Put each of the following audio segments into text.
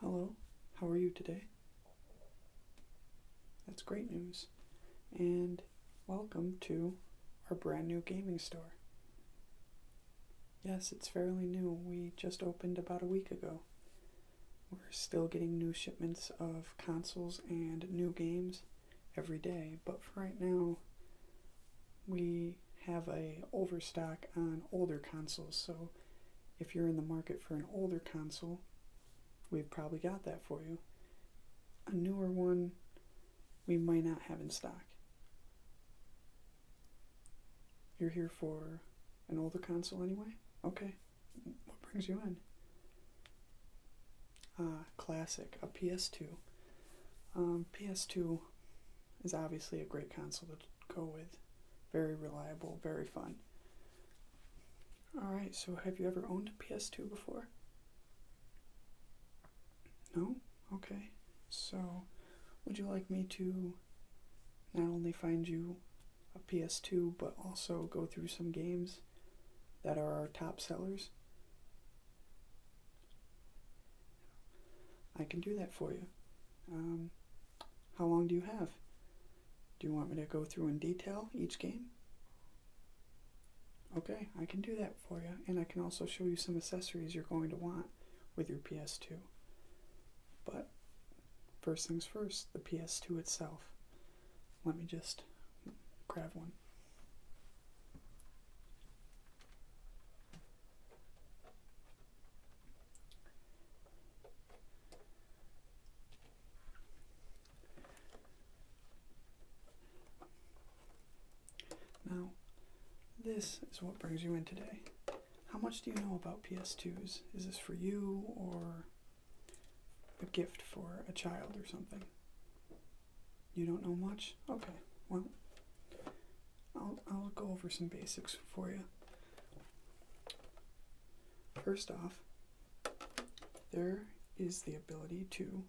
Hello, how are you today? That's great news, and welcome to our brand new gaming store. Yes, it's fairly new. We just opened about a week ago. We're still getting new shipments of consoles and new games every day, but for right now, we have a overstock on older consoles. So if you're in the market for an older console, we've probably got that for you. A newer one, we might not have in stock. You're here for an older console anyway? Okay. What brings you in? Ah, classic, a PS2. Um, PS2 is obviously a great console go with. Very reliable, very fun. Alright, so have you ever owned a PS2 before? No? Okay. So, would you like me to not only find you a PS2, but also go through some games that are our top sellers? I can do that for you. Um, how long do you have? Do you want me to go through in detail each game? Okay, I can do that for you, and I can also show you some accessories you're going to want with your PS2. But first things first, the PS2 itself. Let me just grab one. Now, this is what brings you in today. How much do you know about PS2s? Is this for you or a gift for a child or something? You don't know much? Okay, well, I'll, I'll go over some basics for you. First off, there is the ability to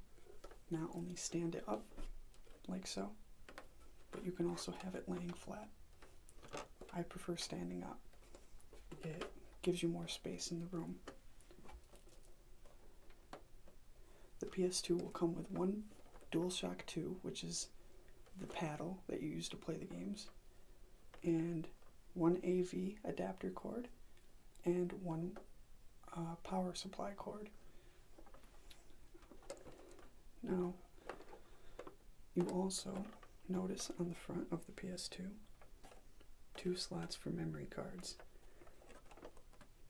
not only stand it up like so, but you can also have it laying flat. I prefer standing up. It gives you more space in the room. The PS2 will come with one DualShock 2, which is the paddle that you use to play the games, and one AV adapter cord, and one uh, power supply cord. Now, you also notice on the front of the PS2 two slots for memory cards.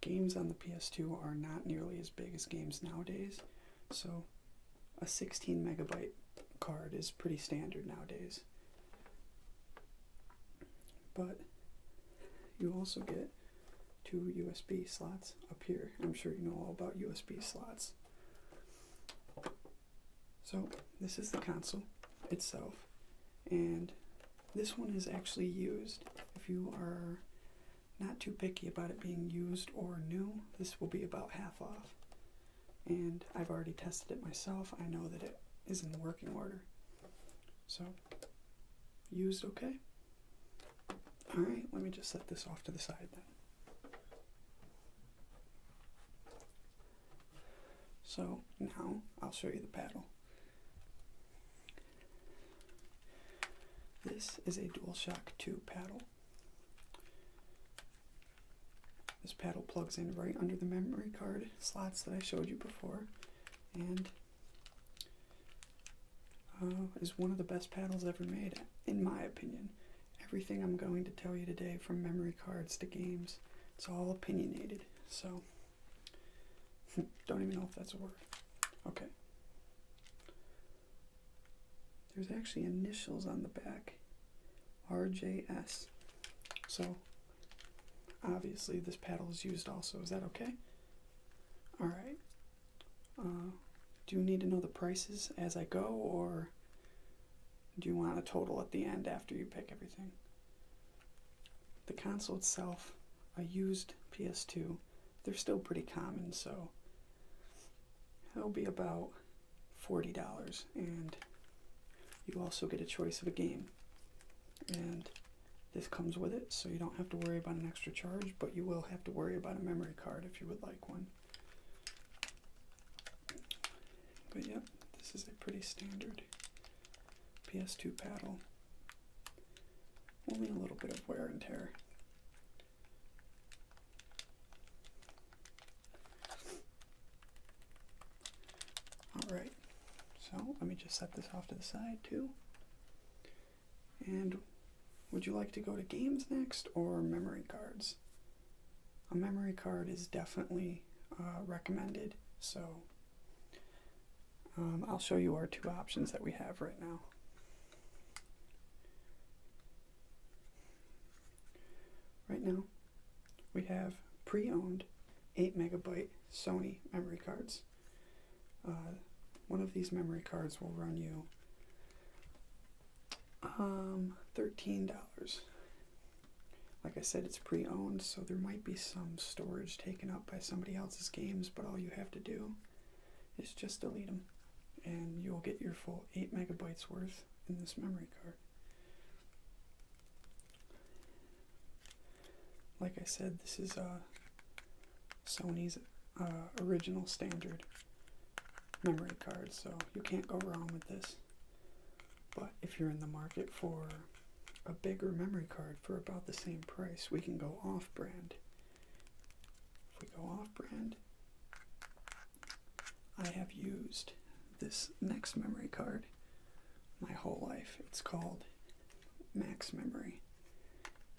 Games on the PS2 are not nearly as big as games nowadays, so a 16 megabyte card is pretty standard nowadays. But you also get two USB slots up here. I'm sure you know all about USB slots. So this is the console itself and this one is actually used if you are not too picky about it being used or new. This will be about half off. And I've already tested it myself. I know that it is in working order. So, used okay. Alright, let me just set this off to the side then. So now I'll show you the paddle. This is a DualShock 2 paddle. This paddle plugs in right under the memory card slots that I showed you before, and uh, is one of the best paddles ever made, in my opinion. Everything I'm going to tell you today, from memory cards to games, it's all opinionated. So, don't even know if that's a word. Okay. There's actually initials on the back RJS. So obviously this paddle is used also. Is that okay? Alright. Uh, do you need to know the prices as I go or do you want a total at the end after you pick everything? The console itself, a used PS2, they're still pretty common, so it'll be about $40. And you also get a choice of a game. And this comes with it, so you don't have to worry about an extra charge, but you will have to worry about a memory card if you would like one. But yep, this is a pretty standard PS2 paddle. Only a little bit of wear and tear. All right, so let me just set this off to the side too. And would you like to go to games next or memory cards? A memory card is definitely uh, recommended, so um, I'll show you our two options that we have right now. Right now, we have pre-owned 8 megabyte Sony memory cards. Uh, one of these memory cards will run you um, $13. Like I said, it's pre-owned, so there might be some storage taken up by somebody else's games, but all you have to do is just delete them, and you'll get your full 8 megabytes worth in this memory card. Like I said, this is a uh, Sony's uh, original standard memory card, so you can't go wrong with this. But if you're in the market for a bigger memory card for about the same price, we can go off brand. If we go off brand, I have used this next memory card my whole life. It's called Max Memory.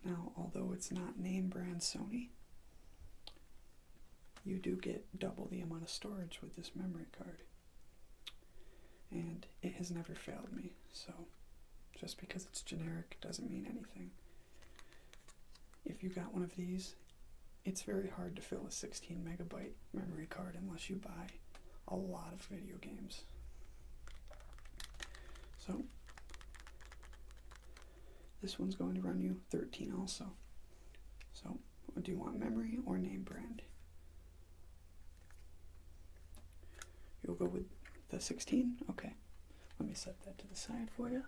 Now, although it's not name brand Sony, you do get double the amount of storage with this memory card. And it has never failed me, so just because it's generic doesn't mean anything. If you got one of these it's very hard to fill a 16 megabyte memory card unless you buy a lot of video games. So, this one's going to run you 13 also. So, do you want memory or name brand? You'll go with the 16? Okay. Let me set that to the side for you.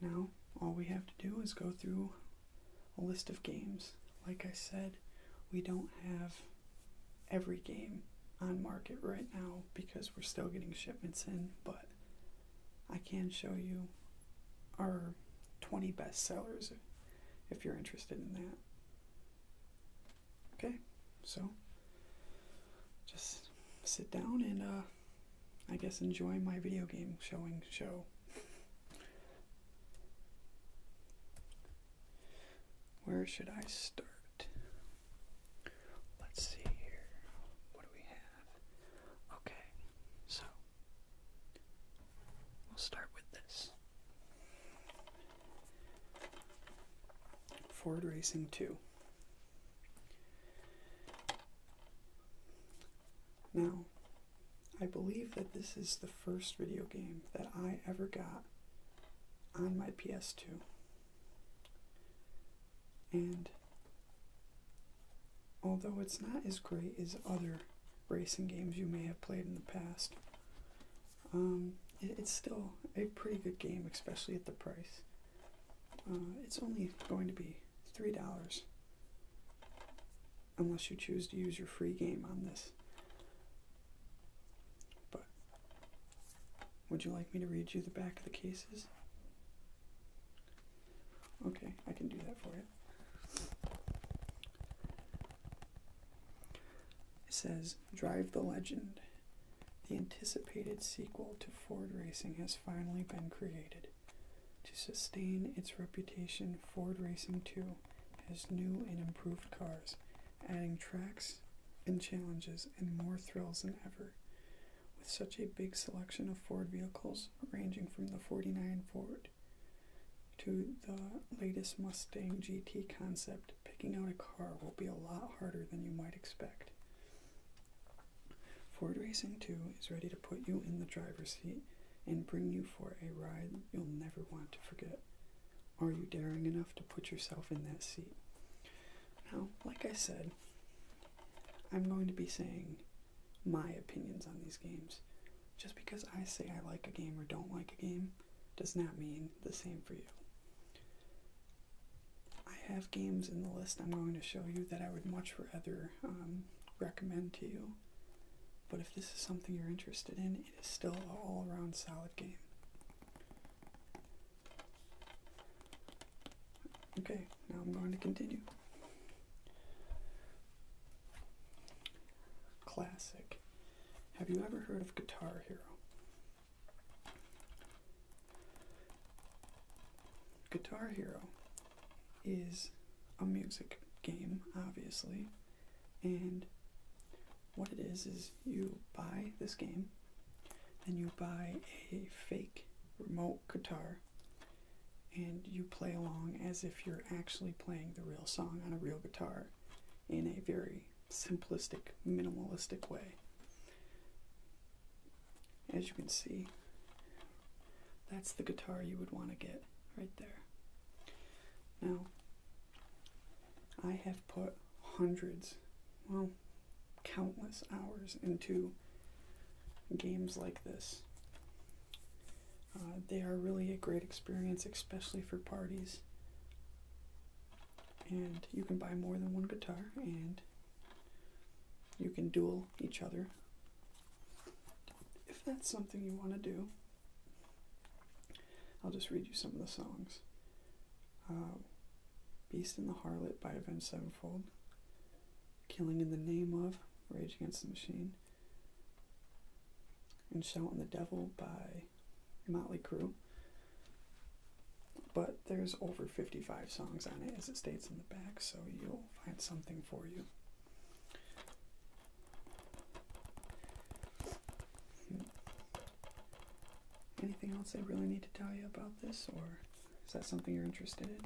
Now, all we have to do is go through a list of games. Like I said, we don't have every game on market right now because we're still getting shipments in, but I can show you our 20 best sellers if you're interested in that. Okay, so just sit down and uh, I guess enjoy my video game showing show. Where should I start? Let's see here. What do we have? Okay, so we'll start with this. Ford Racing 2. Now, I believe that this is the first video game that I ever got on my PS2. And although it's not as great as other racing games you may have played in the past, um, it's still a pretty good game, especially at the price. Uh, it's only going to be three dollars, unless you choose to use your free game on this. But would you like me to read you the back of the cases? Okay, I can do that for you. It says Drive the Legend. The anticipated sequel to Ford Racing has finally been created. To sustain its reputation, Ford Racing 2 has new and improved cars, adding tracks and challenges and more thrills than ever. With such a big selection of Ford vehicles, ranging from the 49 Ford to the latest Mustang GT concept, picking out a car will be a lot harder than you might expect. Ford Racing 2 is ready to put you in the driver's seat and bring you for a ride you'll never want to forget. Are you daring enough to put yourself in that seat? Now, like I said, I'm going to be saying my opinions on these games. Just because I say I like a game or don't like a game does not mean the same for you. I have games in the list I'm going to show you that I would much rather um, recommend to you, but if this is something you're interested in, it is still an all around solid game. Okay, now I'm going to continue. Classic. Have you ever heard of Guitar Hero? Guitar Hero is a music game, obviously, and what it is is you buy this game and you buy a fake remote guitar and you play along as if you're actually playing the real song on a real guitar in a very simplistic, minimalistic way. As you can see, that's the guitar you would want to get right there. Now, I have put hundreds, well, countless hours into games like this. Uh, they are really a great experience, especially for parties and you can buy more than one guitar and you can duel each other if that's something you want to do i'll just read you some of the songs um, beast in the harlot by avenged sevenfold killing in the name of rage against the machine and shout on the devil by motley crew but there's over 55 songs on it as it states in the back, so you'll find something for you. Hmm. Anything else I really need to tell you about this, or is that something you're interested in?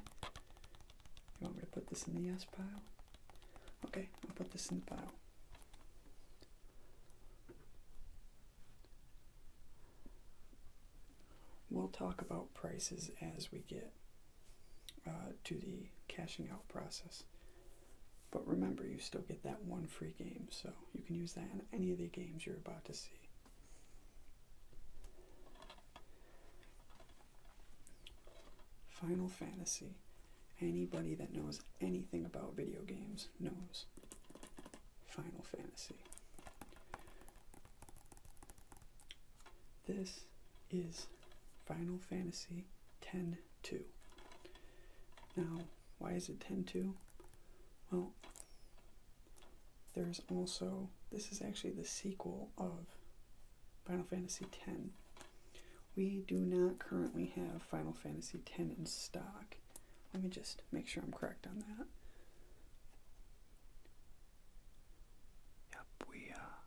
You want me to put this in the yes pile? Okay, I'll put this in the pile. We'll talk about prices as we get uh, to the cashing out process. But remember, you still get that one free game, so you can use that in any of the games you're about to see. Final Fantasy. Anybody that knows anything about video games knows Final Fantasy. This is Final Fantasy 10 2. Now, why is it 10 2? Well, there's also, this is actually the sequel of Final Fantasy 10. We do not currently have Final Fantasy 10 in stock. Let me just make sure I'm correct on that. Yep, we uh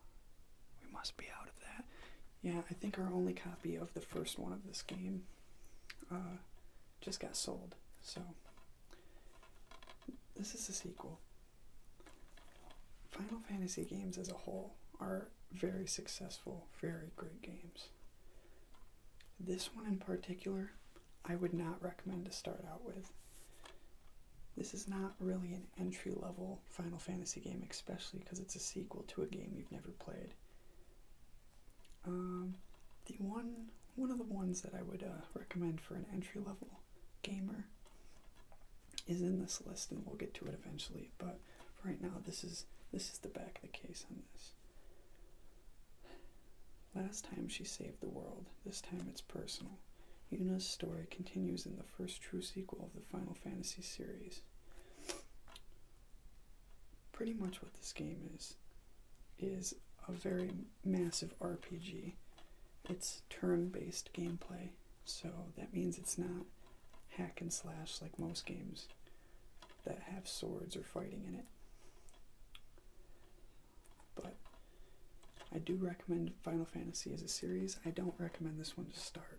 we must be out of that. Yeah, I think our only copy of the first one of this game uh just got sold. So this is a sequel. Final Fantasy games as a whole are very successful, very great games. This one in particular I would not recommend to start out with. This is not really an entry level Final Fantasy game, especially because it's a sequel to a game you've never played. Um, the one one of the ones that I would uh, recommend for an entry level gamer is in this list, and we'll get to it eventually. But right now, this is this is the back of the case on this. Last time she saved the world, this time it's personal. Yuna's story continues in the first true sequel of the Final Fantasy series. Pretty much what this game is is a very massive RPG. It's turn-based gameplay, so that means it's not hack and slash like most games that have swords or fighting in it. But I do recommend Final Fantasy as a series. I don't recommend this one to start.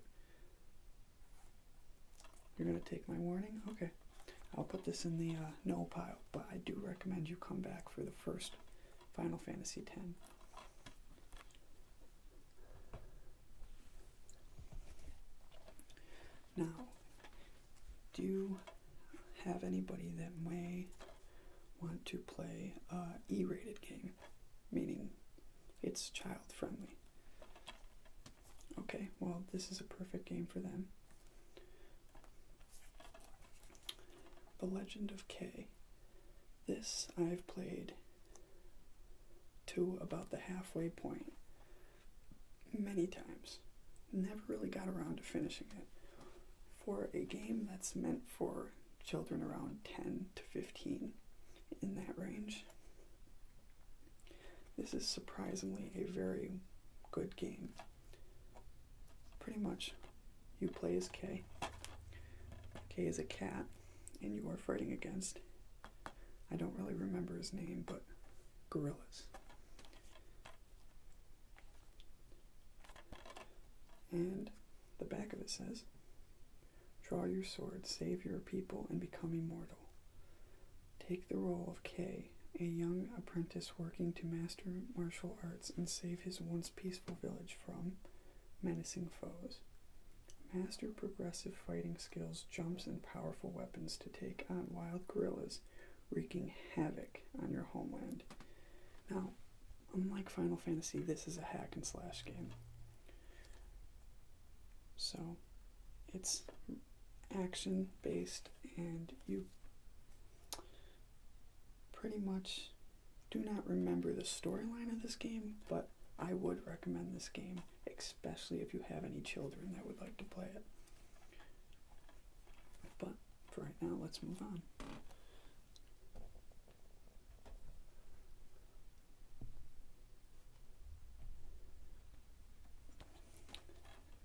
You're going to take my warning? Okay. I'll put this in the uh, no pile, but I do recommend you come back for the first Final Fantasy X. Now, do you have anybody that may want to play a E-rated game, meaning it's child friendly. Okay, well this is a perfect game for them. The Legend of K. This I've played to about the halfway point many times. Never really got around to finishing it. For a game that's meant for children around 10 to 15, in that range, this is surprisingly a very good game. Pretty much, you play as K. K is a cat, and you are fighting against, I don't really remember his name, but gorillas. And the back of it says, Draw your sword, save your people, and become immortal. Take the role of Kay, a young apprentice working to master martial arts and save his once peaceful village from menacing foes. Master progressive fighting skills, jumps, and powerful weapons to take on wild gorillas." wreaking havoc on your homeland. Now, unlike Final Fantasy, this is a hack and slash game. So, it's action based, and you pretty much do not remember the storyline of this game, but I would recommend this game, especially if you have any children that would like to play it. But for right now, let's move on.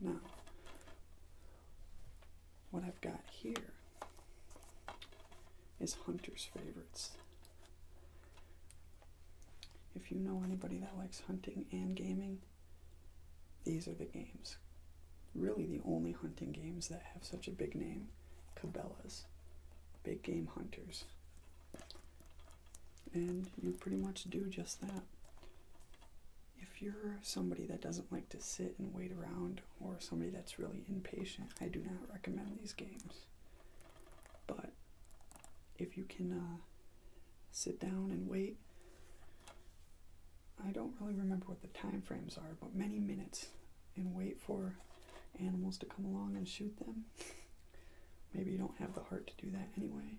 Now, what I've got here is Hunter's Favorites. If you know anybody that likes hunting and gaming, these are the games. Really, the only hunting games that have such a big name Cabela's, Big Game Hunters. And you pretty much do just that. If you're somebody that doesn't like to sit and wait around, or somebody that's really impatient, I do not recommend these games. But if you can uh, sit down and wait, I don't really remember what the time frames are, but many minutes and wait for animals to come along and shoot them. Maybe you don't have the heart to do that anyway.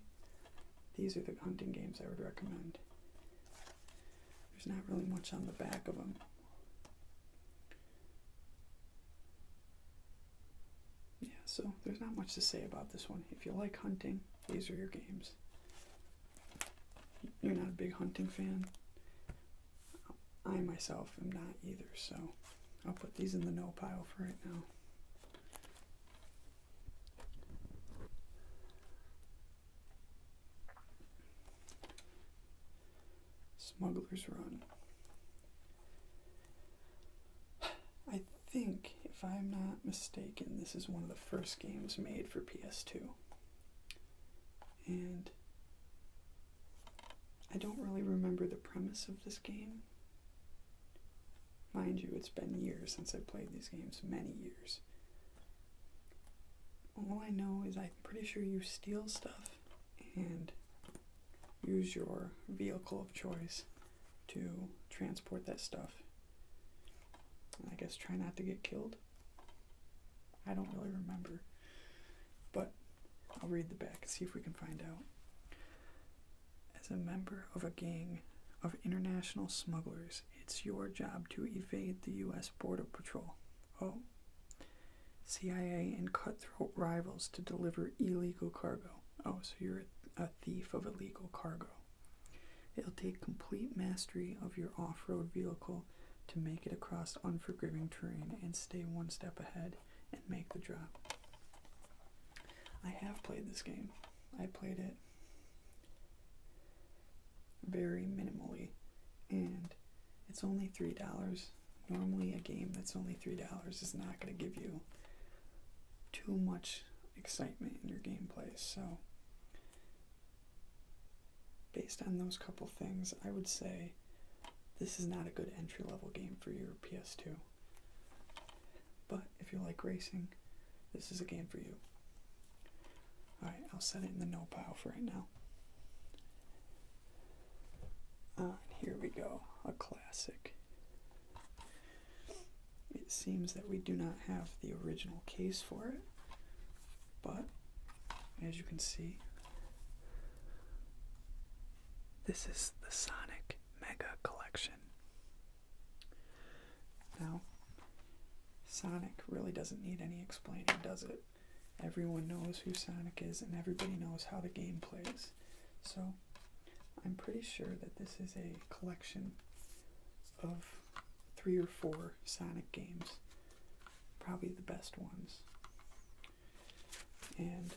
These are the hunting games I would recommend. There's not really much on the back of them. Yeah, so there's not much to say about this one. If you like hunting, these are your games. You're not a big hunting fan. I myself am not either, so I'll put these in the no pile for right now. Smuggler's Run. I think, if I'm not mistaken, this is one of the first games made for PS2. And I don't really remember the premise of this game. Mind you, it's been years since I played these games, many years. All I know is I'm pretty sure you steal stuff and use your vehicle of choice to transport that stuff I guess try not to get killed. I don't really remember. But I'll read the back and see if we can find out. As a member of a gang of international smugglers, it's your job to evade the U.S. Border Patrol. Oh. CIA and cutthroat rivals to deliver illegal cargo. Oh, so you're a thief of illegal cargo. It'll take complete mastery of your off road vehicle to make it across unforgiving terrain and stay one step ahead and make the drop. I have played this game, I played it very minimally, and it's only $3. Normally, a game that's only $3 is not going to give you too much excitement in your gameplay, so based on those couple things, I would say this is not a good entry level game for your PS2. But if you like racing, this is a game for you. Alright, I'll set it in the no pile for right now. Ah, here we go, a classic. It seems that we do not have the original case for it, but as you can see, this is the Sonic Mega Collection. Now, Sonic really doesn't need any explaining, does it? Everyone knows who Sonic is and everybody knows how the game plays. So, I'm pretty sure that this is a collection of three or four Sonic games, probably the best ones. And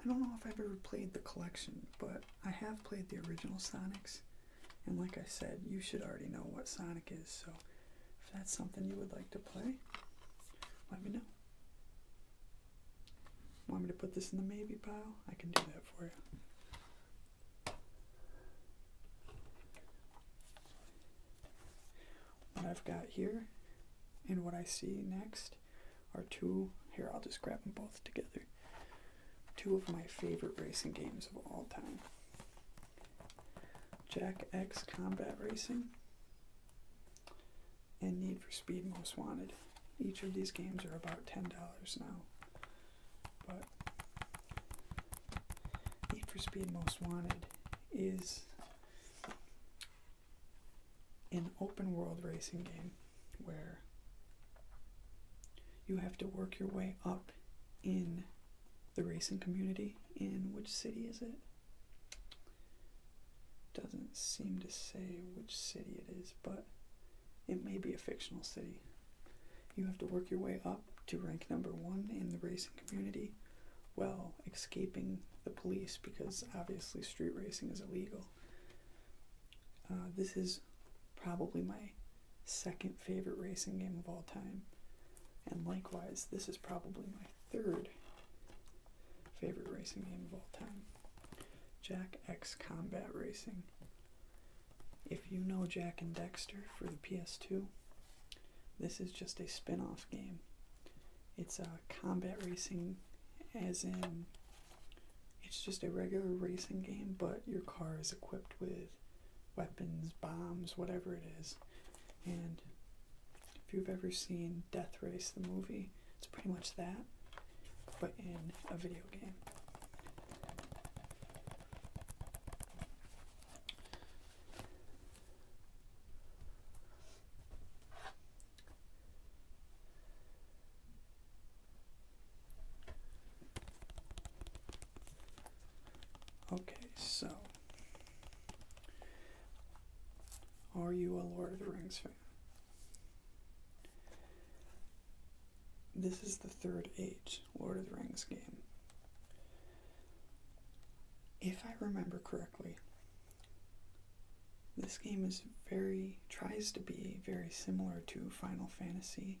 I don't know if I've ever played the collection, but I have played the original Sonics. And like I said, you should already know what Sonic is, so if that's something you would like to play, let me know. Want me to put this in the maybe pile? I can do that for you. What I've got here and what I see next are two, here I'll just grab them both together, two of my favorite racing games of all time. Jack X Combat Racing and Need for Speed Most Wanted. Each of these games are about $10 now. But Need for Speed Most Wanted is an open world racing game where you have to work your way up in the racing community. In which city is it? Doesn't seem to say which city it is, but it may be a fictional city. You have to work your way up to rank number one in the racing community while escaping the police because obviously street racing is illegal. Uh, this is probably my second favorite racing game of all time. And likewise, this is probably my third favorite racing game of all time. Jack X Combat Racing. If you know Jack and Dexter for the PS2, this is just a spin off game. It's a combat racing, as in, it's just a regular racing game, but your car is equipped with weapons, bombs, whatever it is. And if you've ever seen Death Race, the movie, it's pretty much that, but in a video game. Okay, so are you a Lord of the Rings fan? This is the Third Age Lord of the Rings game. If I remember correctly, this game is very, tries to be very similar to Final Fantasy,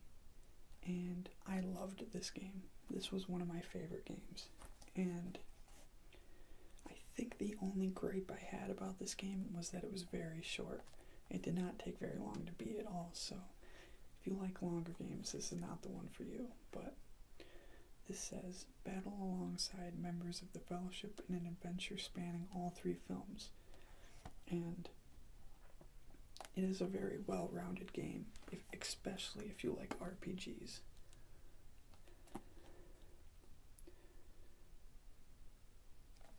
and I loved this game. This was one of my favorite games, and I think the only gripe I had about this game was that it was very short. It did not take very long to beat at all, so if you like longer games, this is not the one for you. But this says battle alongside members of the Fellowship in an adventure spanning all three films. And it is a very well rounded game, especially if you like RPGs.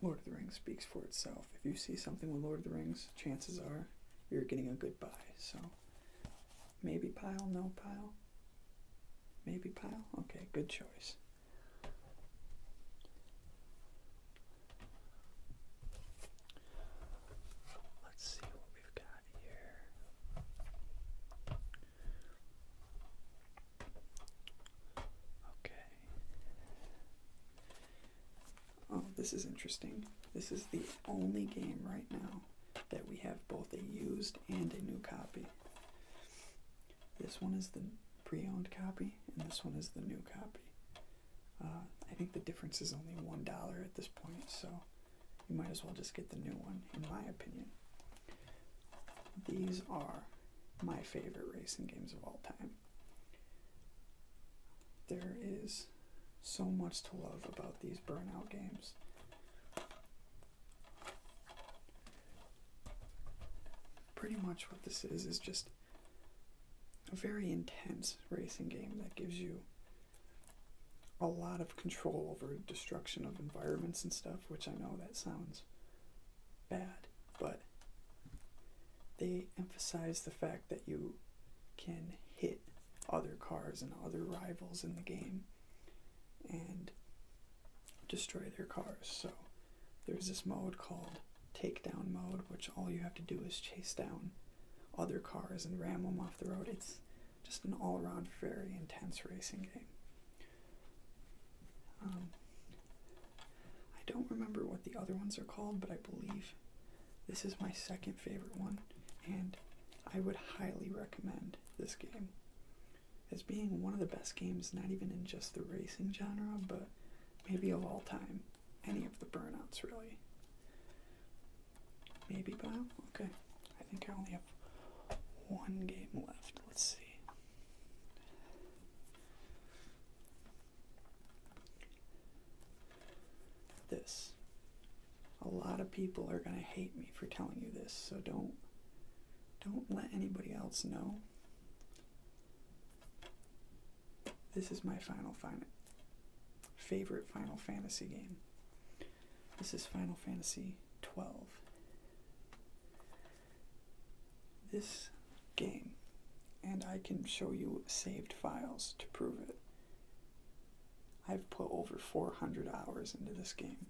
Lord of the Rings speaks for itself. If you see something with Lord of the Rings, chances are you're getting a good buy. So maybe pile, no pile. Maybe pile? Okay, good choice. Let's see what we've got here. Okay. Oh, this is interesting. This is the only game right now that we have both a used and a new copy. This one is the pre owned copy, and this one is the new copy. Uh, I think the difference is only $1 at this point, so you might as well just get the new one, in my opinion. These are my favorite racing games of all time. There is so much to love about these burnout games. Pretty much what this is is just a very intense racing game that gives you a lot of control over destruction of environments and stuff, which I know that sounds bad but they emphasize the fact that you can hit other cars and other rivals in the game and destroy their cars. So there's this mode called takedown mode, which all you have to do is chase down other cars and ram them off the road. It's just an all around very intense racing game. Um, I don't remember what the other ones are called, but I believe this is my second favorite one, and I would highly recommend this game as being one of the best games, not even in just the racing genre, but maybe of all time. Any of the burnouts, really. Maybe by Okay. I think I only have one game left. Let's see. This. A lot of people are going to hate me for telling you this, so don't don't let anybody else know. This is my final final favorite Final Fantasy game. This is Final Fantasy 12 this game, and I can show you saved files to prove it. I've put over 400 hours into this game.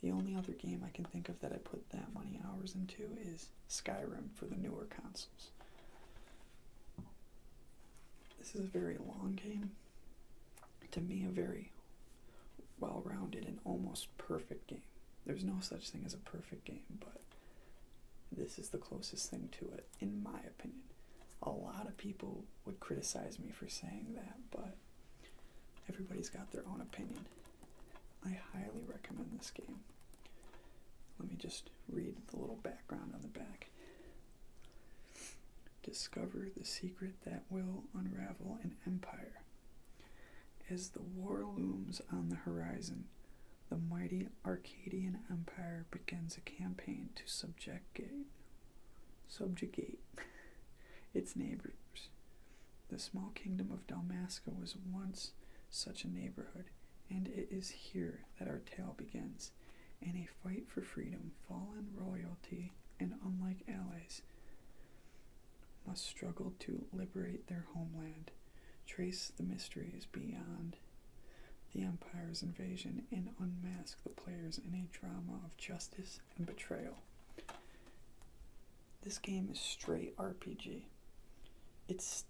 The only other game I can think of that I put that many hours into is Skyrim for the newer consoles. This is a very long game. To me, a very well rounded and almost perfect game. There's no such thing as a perfect game, but this is the closest thing to it, in my opinion. A lot of people would criticize me for saying that, but everybody's got their own opinion. I highly recommend this game. Let me just read the little background on the back. Discover the secret that will unravel an empire as the war looms on the horizon, the mighty Arcadian Empire begins a campaign to subjugate, subjugate its neighbors. The small kingdom of Damascus was once such a neighborhood, and it is here that our tale begins. In a fight for freedom, fallen royalty, and unlikely allies, must struggle to liberate their homeland, trace the mysteries beyond the Empire's invasion, and unmask the players in a drama of justice and betrayal. This game is straight RPG. It's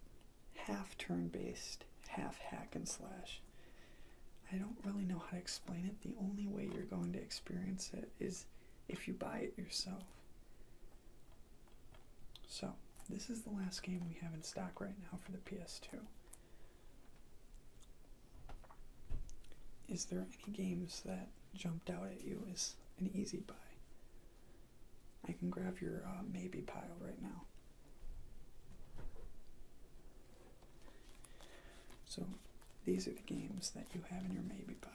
half turn based, half hack and slash. I don't really know how to explain it. The only way you're going to experience it is if you buy it yourself. So, this is the last game we have in stock right now for the PS2. Is there any games that jumped out at you as an easy buy? I can grab your uh, maybe pile right now. So, these are the games that you have in your maybe pile.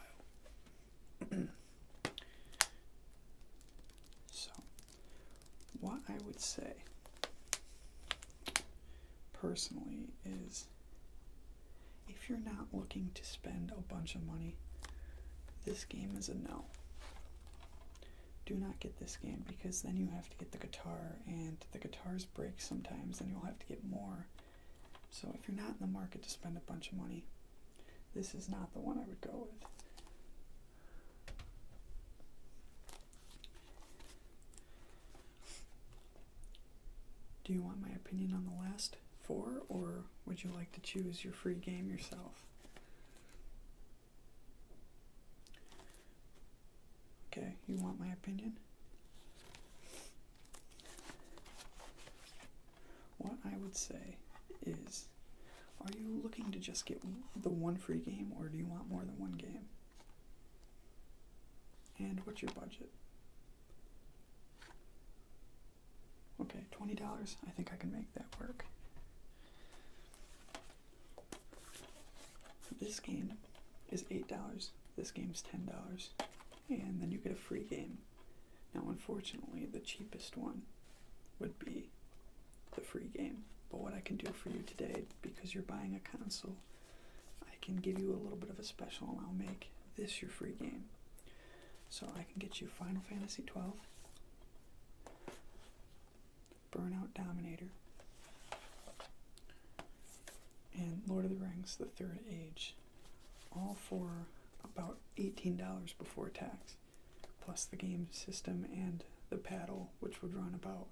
so, what I would say personally is if you're not looking to spend a bunch of money, this game is a no. Do not get this game because then you have to get the guitar, and the guitars break sometimes, and you'll have to get more. So, if you're not in the market to spend a bunch of money, this is not the one I would go with. Do you want my opinion on the last four, or would you like to choose your free game yourself? Okay, you want my opinion? What I would say is are you looking to just get the one free game or do you want more than one game? And what's your budget? Okay, $20. I think I can make that work. This game is $8. This game is $10. And then you get a free game now, unfortunately, the cheapest one would be the free game. But what I can do for you today, because you're buying a console, I can give you a little bit of a special and I'll make this your free game. So I can get you Final Fantasy XII, Burnout Dominator, and Lord of the Rings The Third Age, all for about $18 before tax plus the game system and the paddle, which would run about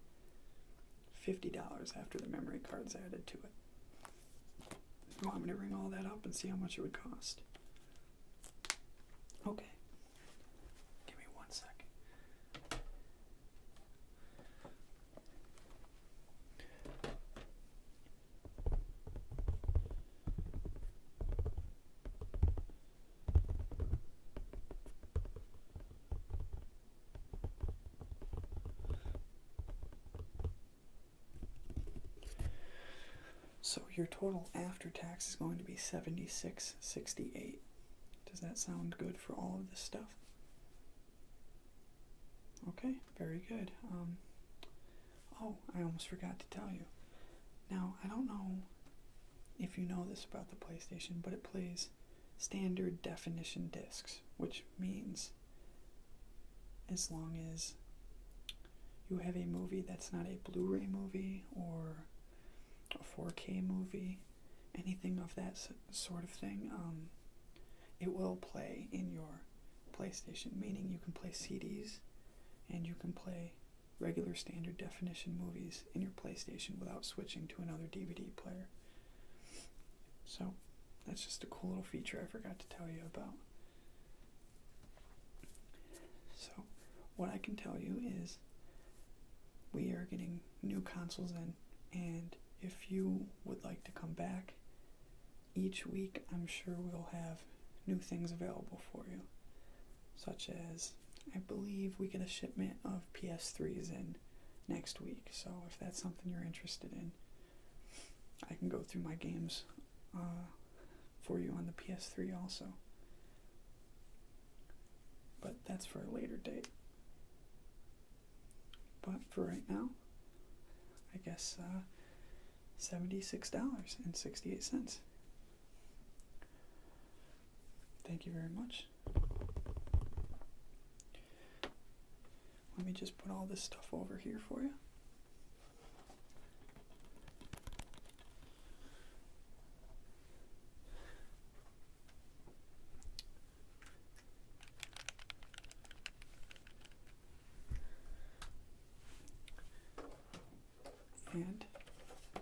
$50 after the memory card's added to it. You want me to ring all that up and see how much it would cost? Okay. Give me one second. So your total after tax is going to be 76.68. Does that sound good for all of this stuff? Okay, very good. Um, Oh, I almost forgot to tell you. Now, I don't know if you know this about the PlayStation, but it plays standard definition discs, which means as long as you have a movie that's not a Blu ray movie or a 4K movie, anything of that sort of thing, um, it will play in your PlayStation, meaning you can play CDs and you can play regular standard definition movies in your PlayStation without switching to another DVD player. So, that's just a cool little feature I forgot to tell you about. So, what I can tell you is we are getting new consoles in, and if you would like to come back each week, I'm sure we'll have new things available for you such as I believe we get a shipment of PS3s in next week. So if that's something you're interested in, I can go through my games uh, for you on the PS3 also. But that's for a later date. But for right now, I guess uh, $76.68. Thank you very much. Let me just put all this stuff over here for you and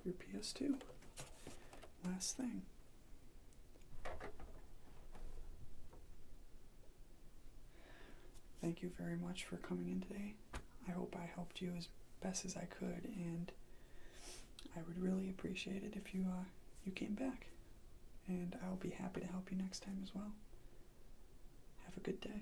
your PS2. Last thing. Thank you very much for coming in today. I hope I helped you as best as I could, and I would really appreciate it if you uh, you came back. And I'll be happy to help you next time as well. Have a good day.